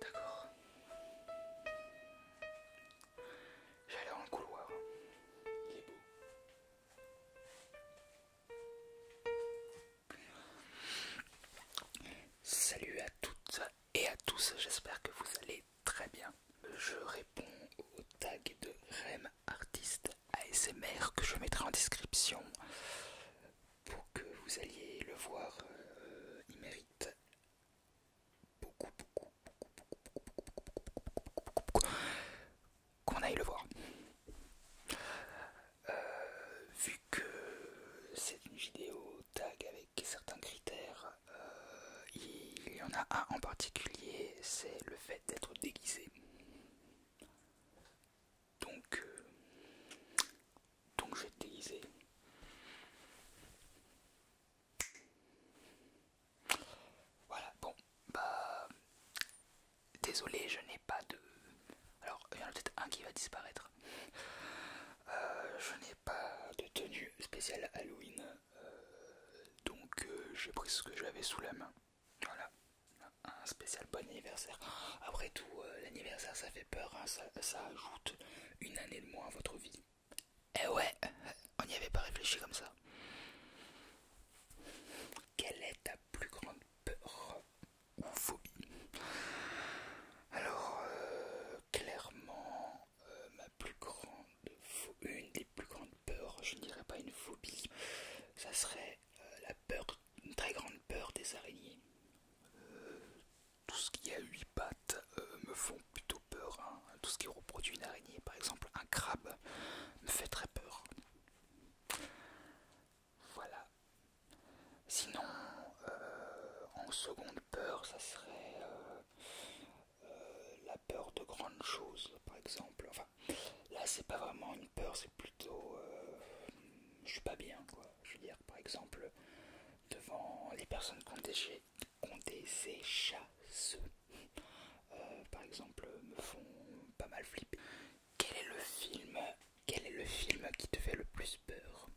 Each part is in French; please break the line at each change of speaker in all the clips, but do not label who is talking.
D'accord. J'allais dans le couloir. Il est beau. Salut à toutes et à tous, j'espère que vous allez très bien. Je réponds au tag de Rem Artiste ASMR que je mettrai en description pour que vous alliez le voir. il mérite beaucoup, beaucoup, beaucoup, beaucoup, beaucoup, beaucoup, beaucoup qu'on aille le voir. Euh, vu que c'est une vidéo tag avec certains critères, euh, il y en a un en particulier, c'est le fait d'être déguisé. Donc, euh, donc je vais déguisé. Voilà, bon, bah désolé, je n'ai pas de. Alors, il y en a peut-être un qui va disparaître. Euh, je n'ai pas de tenue spéciale Halloween. Euh, donc, euh, j'ai pris ce que j'avais sous la main. Voilà. Un spécial bon anniversaire. Après tout, l'anniversaire, ça fait peur. Hein. ça ajoute une année de moins à votre vie. Eh ouais, on n'y avait pas réfléchi comme ça. Quelle est ta plus grande peur ou phobie. Alors, euh, clairement, euh, ma plus grande une des plus grandes peurs, je ne dirais pas une phobie, ça serait euh, la peur, une très grande peur des araignées. tout ce qui a huit pattes me font plutôt peur. Hein. Tout ce qui reproduit une araignée, par exemple un crabe, me fait très peur. Voilà. Sinon, euh, en seconde peur, ça serait euh, euh, la peur de grandes choses, par exemple. Enfin, là, c'est pas vraiment une peur, c'est plutôt. je suis pas bien, quoi. Je veux dire, par exemple, devant les personnes qui ont des, par exemple, me font pas mal flipper. Quel est le film Quel est le film qui te fait le plus peur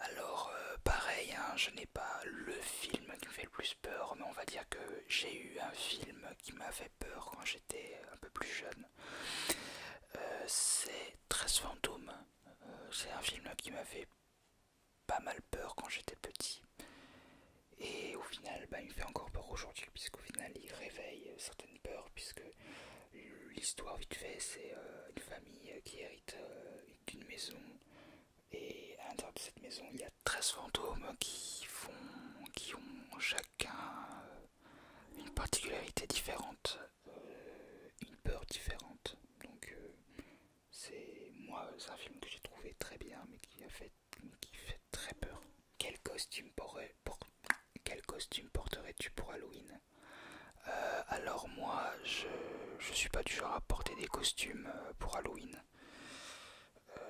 Alors euh, pareil, hein, je n'ai pas le film qui me fait le plus peur, mais on va dire que j'ai eu un film qui m'a fait peur quand j'étais un peu plus jeune. Euh, c'est 13 fantômes. Euh, c'est un film qui m'a fait pas mal peur quand j'étais petit. Et au final, bah, il me fait encore peur aujourd'hui, puisqu'au final, il réveille euh, certaines peurs, puisque l'histoire, vite fait, c'est euh, une famille euh, qui hérite d'une maison. Et à l'intérieur de cette maison, il y a 13 fantômes qui, font, qui ont chacun une particularité différente, une peur différente. Donc, c'est moi, c'est un film que j'ai trouvé très bien, mais qui a fait qui fait très peur. Quel costume, quel porterais-tu pour Halloween euh, Alors moi, je je suis pas du genre à porter des costumes euh, pour Halloween. Euh,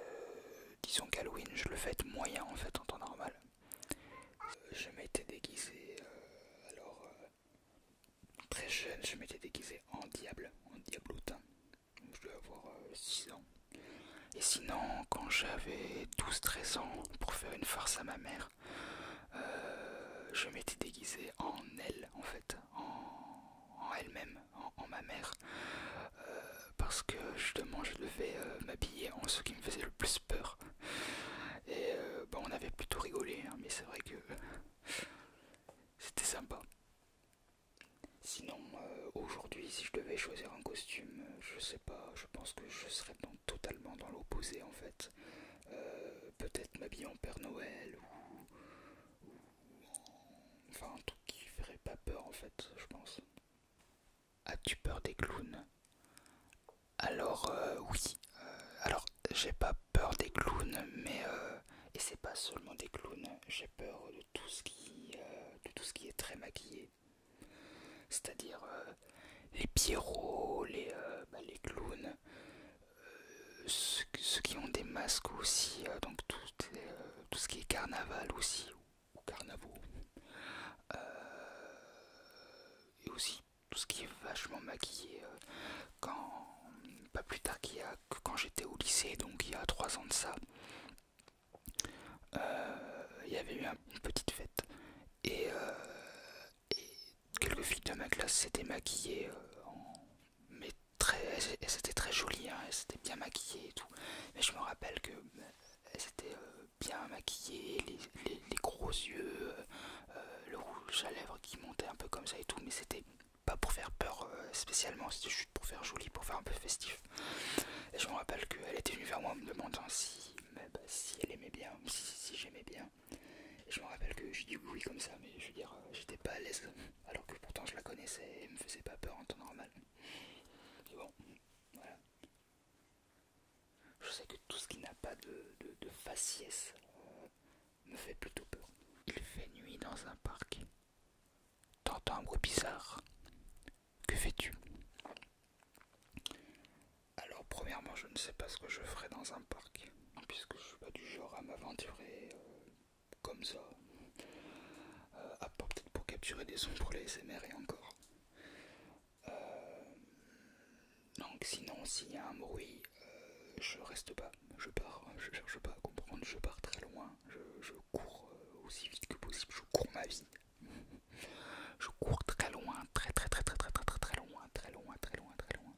disons qu'Halloween, je le fête moyen en fait en temps normal. Je m'étais déguisé alors très jeune, je m'étais déguisé en diable, en diablotin je devais avoir 6 euh, ans. Et sinon, quand j'avais 12-13 ans, pour faire une farce à ma mère, euh, je m'étais déguisé en elle, en fait, en, elle-même, en, ma mère, euh, parce que justement je devais m'habiller en ce qui me faisait le plus peur. Et bah, on avait plutôt rigolé, hein, mais c'est vrai que c'était sympa. Sinon, euh, aujourd'hui, si je devais choisir un costume, euh, je sais pas, je pense que je serais totalement dans l'opposé en fait. Euh, peut-être m'habiller en Père Noël ou, Enfin, un truc qui ferait pas peur en fait, je pense. As-tu peur des clowns Alors, oui. alors, j'ai pas peur des clowns, mais. Euh, et c'est pas seulement des clowns, j'ai peur de tout ce qui. Euh, de tout ce qui est très maquillé. C'est-à-dire euh, les pierrots, les, euh, bah, clowns, ceux, qui ont des masques aussi, donc tout, ce qui est carnaval aussi, ou, et aussi tout ce qui est vachement maquillé. quand, pas plus tard qu'il que quand j'étais au lycée, donc il y a trois ans de ça, euh, il y avait eu une petite fête euh, et, quelques filles de ma classe s'étaient maquillées euh, mais très elles très joli hein, elles s'étaient bien maquillées et tout mais je me rappelle que elles étaient bien maquillées les, gros yeux le rouge à lèvres qui montait un peu comme ça et tout mais c'était pas pour faire peur euh, spécialement, c'était juste pour faire joli, pour faire un peu festif. Et je me rappelle qu'elle était venue vers moi en me demandant si, bah, si elle aimait bien, si, j'aimais bien. Et je me rappelle que j'ai dit oui comme ça, mais je veux dire, euh, j'étais pas à l'aise, alors que pourtant je la connaissais et elle me faisait pas peur en temps normal. bon, voilà. Je sais que tout ce qui n'a pas de, de, faciès euh, me fait plutôt peur. Il fait nuit dans un parc. T'entends un bruit bizarre. Que fais-tu Alors, premièrement, je ne sais pas ce que je ferai dans un parc, puisque je suis pas du genre à m'aventurer euh, comme ça. Euh, à part peut-être pour capturer des sons pour les SMR et encore. Euh, donc, sinon, s'il y a un bruit, je reste pas je pars, je cherche pas à comprendre, je pars très loin, je, cours euh, aussi vite que possible, je cours ma vie. je cours très loin, très très très très très très très très loin, très loin, très loin, très loin.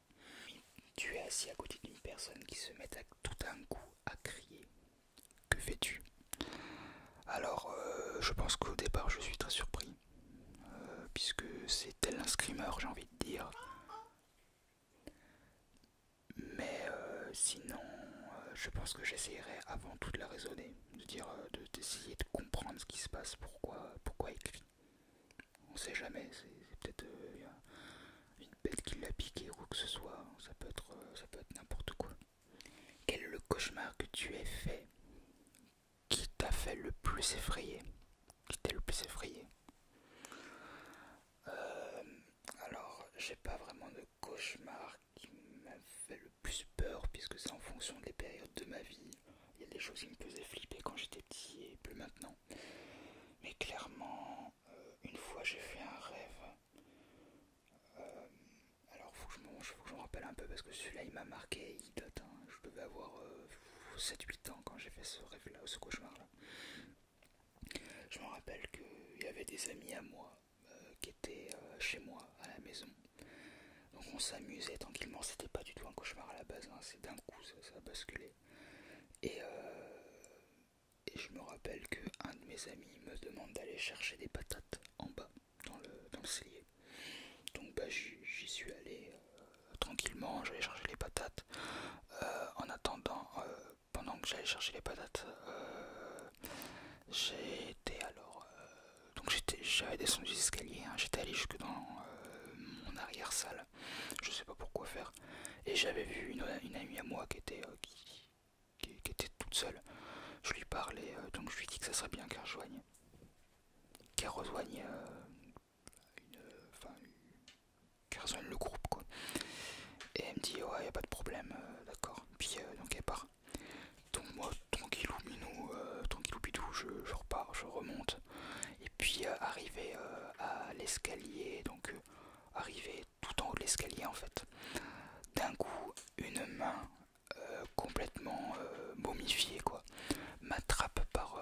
Tu es assis à côté d'une personne qui se met tout d'un coup à crier. Que fais-tu Alors, euh, je pense qu'au départ, je suis très surpris, euh, puisque c'est tel un screamer, j'ai envie de dire. Mais euh, sinon, euh, je pense que j'essayerai avant tout de la raisonner, de dire, euh, d'essayer de, comprendre ce qui se passe, pourquoi, pourquoi il crie. On sait jamais, c'est peut-être une bête qui l'a piqué ou quoi que ce soit, ça peut être, ça peut être n'importe quoi. Quel est le cauchemar que tu as fait qui t'a fait le plus effrayer Qui le plus effrayé alors, j'ai pas vraiment de cauchemar qui m'a fait le plus peur, puisque c'est en fonction des périodes de ma vie. Il y a des choses qui me faisaient flipper quand j'étais petit et plus maintenant. Mais clairement, euh, une fois j'ai fait un rêve. Euh, alors, faut que je me rappelle un peu parce que celui-là il m'a marqué, il date. Hein. Je devais avoir 7-8 euh, ans quand j'ai fait ce rêve-là, ce cauchemar-là. Je me rappelle qu'il y avait des amis à moi euh, qui étaient euh, chez moi à la maison. Donc on s'amusait tranquillement, c'était pas du tout un cauchemar à la base, hein. c'est d'un coup ça, a basculé. Euh, et, je me rappelle qu'un de mes amis me demande d'aller chercher des patates en bas, dans le, dans cellier. Donc bah, j'y suis allé tranquillement, j'allais chercher les patates. en attendant, pendant que j'allais chercher les patates, euh, j'étais alors. Euh, donc j'avais descendu les escaliers, hein. j'étais allé jusque dans euh, mon arrière-salle, je sais pas pourquoi faire, et j'avais vu une, amie à moi qui était, qui, qui, était toute seule. Je lui parlais, donc je lui dis que ça serait bien qu'elle rejoigne, qu'elle rejoigne Enfin, Carzone le groupe quoi. Et elle me dit ouais y a pas de problème, euh, d'accord. Puis euh, donc elle part. Donc moi tranquillou minou, tranquille euh, tranquillou bidou, je, je, repars, je remonte. Et puis arrivé à l'escalier, donc arrivé tout en haut de l'escalier en fait. D'un coup, une main complètement momifiée quoi, m'attrape par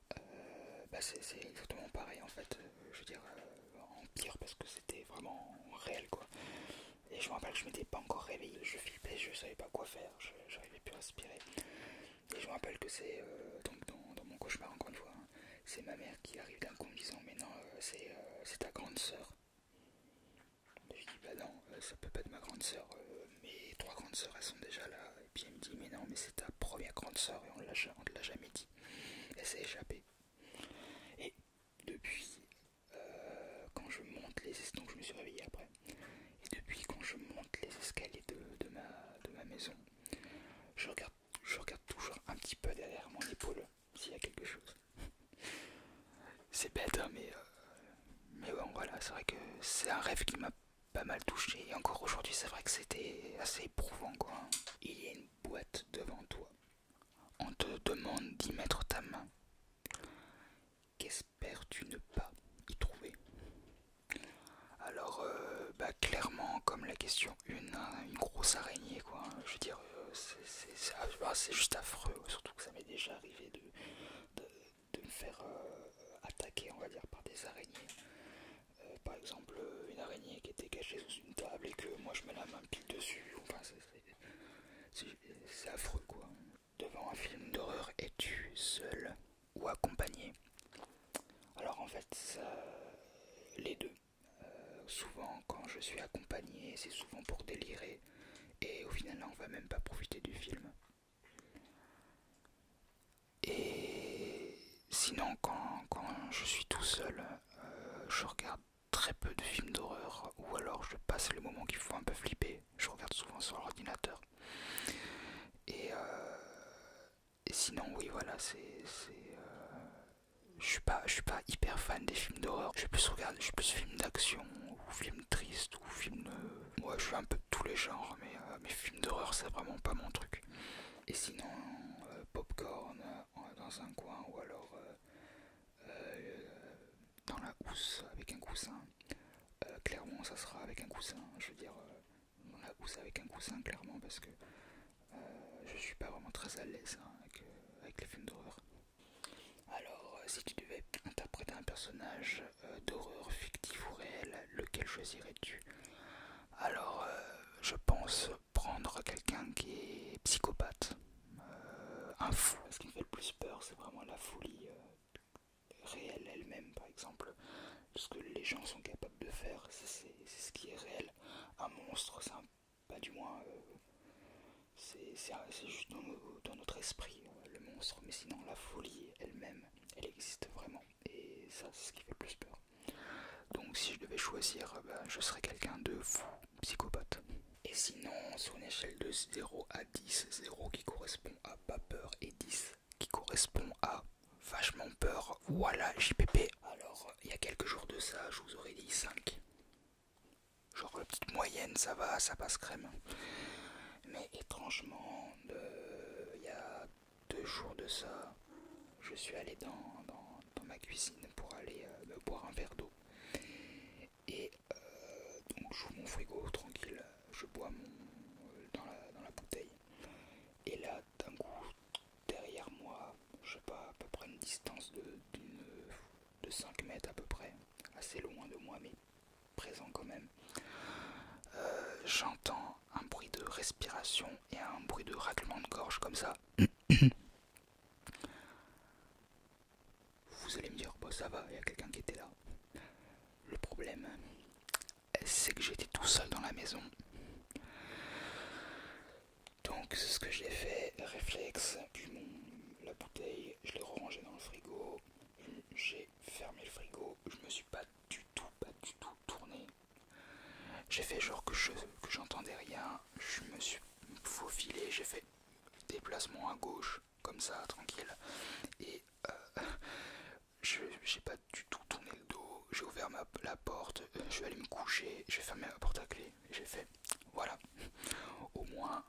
Bah, c'est exactement pareil en fait, je veux dire euh, en pire parce que c'était vraiment réel quoi. Et je me rappelle que je m'étais pas encore réveillé, je flippais, je savais pas quoi faire, je n'arrivais plus à respirer. Et je me rappelle que c'est euh, dans, mon cauchemar encore une fois, hein, c'est ma mère qui arrive d'un coup en disant mais non euh, c'est ta grande sœur. je dis bah non, ça peut pas être ma grande sœur, mes trois grandes sœurs elles sont déjà là, et puis elle me dit, mais non, mais c'est ta première grande sœur et on ne l'a jamais dit. Elle s'est échappée. Et depuis, euh, quand je monte les escaliers, je me suis après, et depuis quand je monte les de, de, ma, maison, je regarde, je regarde toujours un petit peu derrière mon épaule s'il y a quelque chose. c'est bête, hein, mais, euh, mais bon, voilà, c'est vrai que c'est un rêve qui m'a pas mal touché. Et encore aujourd'hui, c'est vrai que c'était assez éprouvant, quoi. Il y a une boîte devant toi. On te demande d'y mettre ta main. Qu'espères-tu ne pas y trouver Alors, euh, bah, clairement, comme la question hein, une, grosse araignée, quoi. Je veux dire, euh, ah, bah, c'est juste affreux, surtout que ça m'est déjà arrivé de, de me faire euh, attaquer, on va dire, par des araignées. Euh, par exemple, euh, une araignée qui était cachée sous une table et que moi je mets la main pile dessus. Enfin, c'est affreux quoi. Devant un film d'horreur, es-tu seul ou accompagné Alors en fait, les deux. souvent, quand je suis accompagné, c'est souvent pour délirer. Et au final, on va même pas profiter du film. Et sinon, quand, je suis tout seul, euh, je regarde très peu de films d'horreur ou alors je passe le moment qu'il faut un peu flipper. Je regarde souvent sur l'ordinateur. Et, euh, sinon, oui, voilà, c'est. c'est euh, je suis pas, suis pas hyper fan des films d'horreur. Je plus regarde, je suis plus film d'action ou film triste ou film. de moi je fais un peu de tous les genres, mais euh, mes films d'horreur c'est vraiment pas mon truc. Et sinon, euh, popcorn euh, dans un coin ou alors dans la housse avec un coussin. clairement, ça sera avec un coussin. Je veux dire, dans la housse avec un coussin, clairement, parce que je suis pas vraiment très à l'aise hein, avec, les films d'horreur. Alors, si tu devais interpréter un personnage euh, d'horreur fictive ou réelle, lequel choisirais-tu Alors, euh, je pense prendre quelqu'un qui est psychopathe, euh, un fou. Ce qui me fait le plus peur, c'est vraiment la folie réelle elle-même, par exemple. Ce que les gens sont capables de faire, c'est ce qui est réel. Un monstre, c'est pas du moins. c'est juste dans, notre esprit, le monstre. Mais sinon, la folie elle-même, elle existe vraiment et ça c'est ce qui fait le plus peur. Donc si je devais choisir, euh, bah, je serais quelqu'un de fou, psychopathe. Et sinon, sur une échelle de 0 à 10, 0 qui correspond à pas peur et 10 qui correspond à vachement peur, voilà JPP. Alors, il y a quelques jours de ça, je vous aurais dit 5. Genre la petite moyenne, ça va, ça passe crème. Mais étrangement, euh, il y a deux jours de ça, je suis allé dans, ma cuisine pour aller euh, boire un verre d'eau. Et euh, donc j'ouvre mon frigo tranquille, je bois dans, la, bouteille. Et là, d'un coup, derrière moi, je sais pas, à peu près une distance de, de 5 mètres à peu près, assez loin de moi, mais présent quand même. J'entends euh, un bruit de respiration et un bruit de raclement de gorge comme ça. Vous allez me dire, bah ça va, il y a quelqu'un qui était là. Le problème, c'est que j'étais tout seul dans la maison. Donc, c'est ce que j'ai fait, réflexe, puis la bouteille je l'ai rangé dans le frigo. J'ai fermé le frigo. Je me suis pas du tout, pas du tout tourné. J'ai fait genre que je que j'entendais rien. Je me suis faufilé. J'ai fait déplacement à gauche, comme ça, tranquille. Et euh, je j'ai pas du tout tourné le dos. J'ai ouvert la porte. Je suis allé me coucher. J'ai fermé ma porte à clé. J'ai fait voilà. Au moins,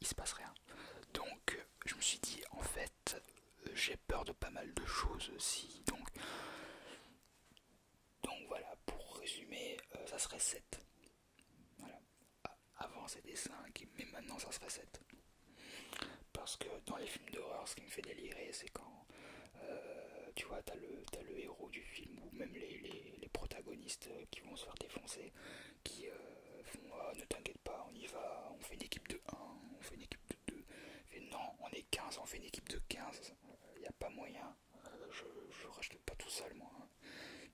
il se passe rien. Donc je me suis dit en fait j'ai peur de pas mal de choses aussi. Donc, donc voilà, pour résumer, euh, ça serait 7. Voilà. Avant c'était 5, mais maintenant ça serait 7. Parce que dans les films d'horreur, ce qui me fait délirer, c'est quand euh, tu vois, t'as le, as le héros du film ou même les, les, les protagonistes qui vont se faire défoncer qui euh, font ah, ne t'inquiète pas, on y va, on fait une équipe de 1, on fait une équipe de 2, non, on est 15, on fait une équipe de 15, il n'y a pas moyen, euh, je, je rachète pas tout seul moi. Hein.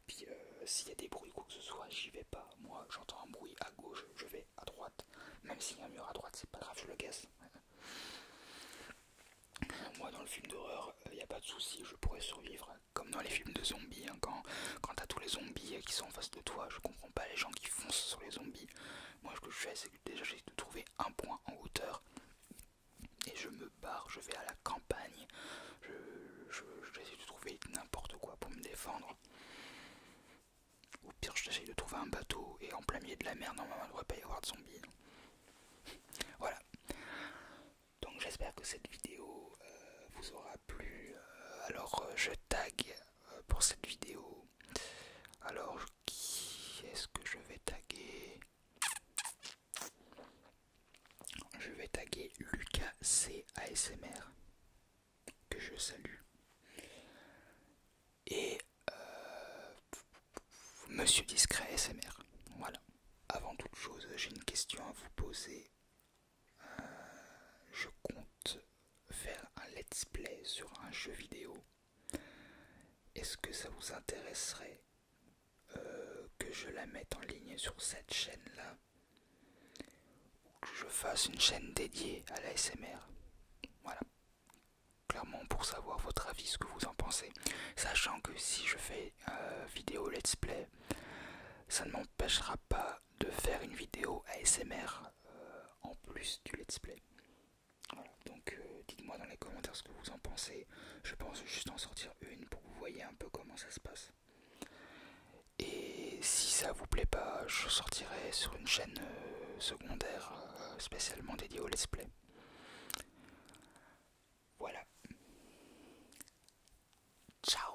Puis euh, s'il y a des bruits, quoi que ce soit, j'y vais pas. Moi, j'entends un bruit à gauche, je vais à droite. Même s'il y a un mur à droite, c'est pas grave, je le casse. Moi, dans le film d'horreur, il n'y a pas de souci, je pourrais survivre comme dans les films de zombies, hein, quand, tu t'as tous les zombies qui sont en face de toi, je comprends pas les gens qui foncent sur les zombies. Moi, ce que je fais, c'est que déjà j'essaie de trouver un point en hauteur et je me barre, je vais à la campagne, je, de trouver n'importe quoi pour me défendre. Au pire, j'essaie de trouver un bateau et en plein milieu de la mer, normalement, il ne devrait pas y avoir de zombies. voilà. Donc, j'espère que cette vidéo euh, vous aura plus euh, alors euh, je tag euh, pour cette vidéo. Alors qui est-ce que je vais taguer Je vais taguer Lucas C ASMR que je salue et Monsieur Discret ASMR. Voilà. Avant toute chose, j'ai une question à vous poser je compte faire un let's play sur un jeu vidéo. Est-ce que ça vous intéresserait euh, que je la mette en ligne sur cette chaîne-là Ou que je fasse une chaîne dédiée à la SMR Voilà. Clairement pour savoir votre avis, ce que vous en pensez. Sachant que si je fais euh, vidéo let's play, ça ne m'empêchera pas de faire une vidéo ASMR euh, en plus du let's play. donc euh, dites-moi dans les commentaires ce que vous en pensez. Je pense juste en sortir une pour que vous voyez un peu comment ça se passe. Et si ça vous plaît pas, je sortirai sur une chaîne secondaire spécialement dédiée au let's play. Voilà. Ciao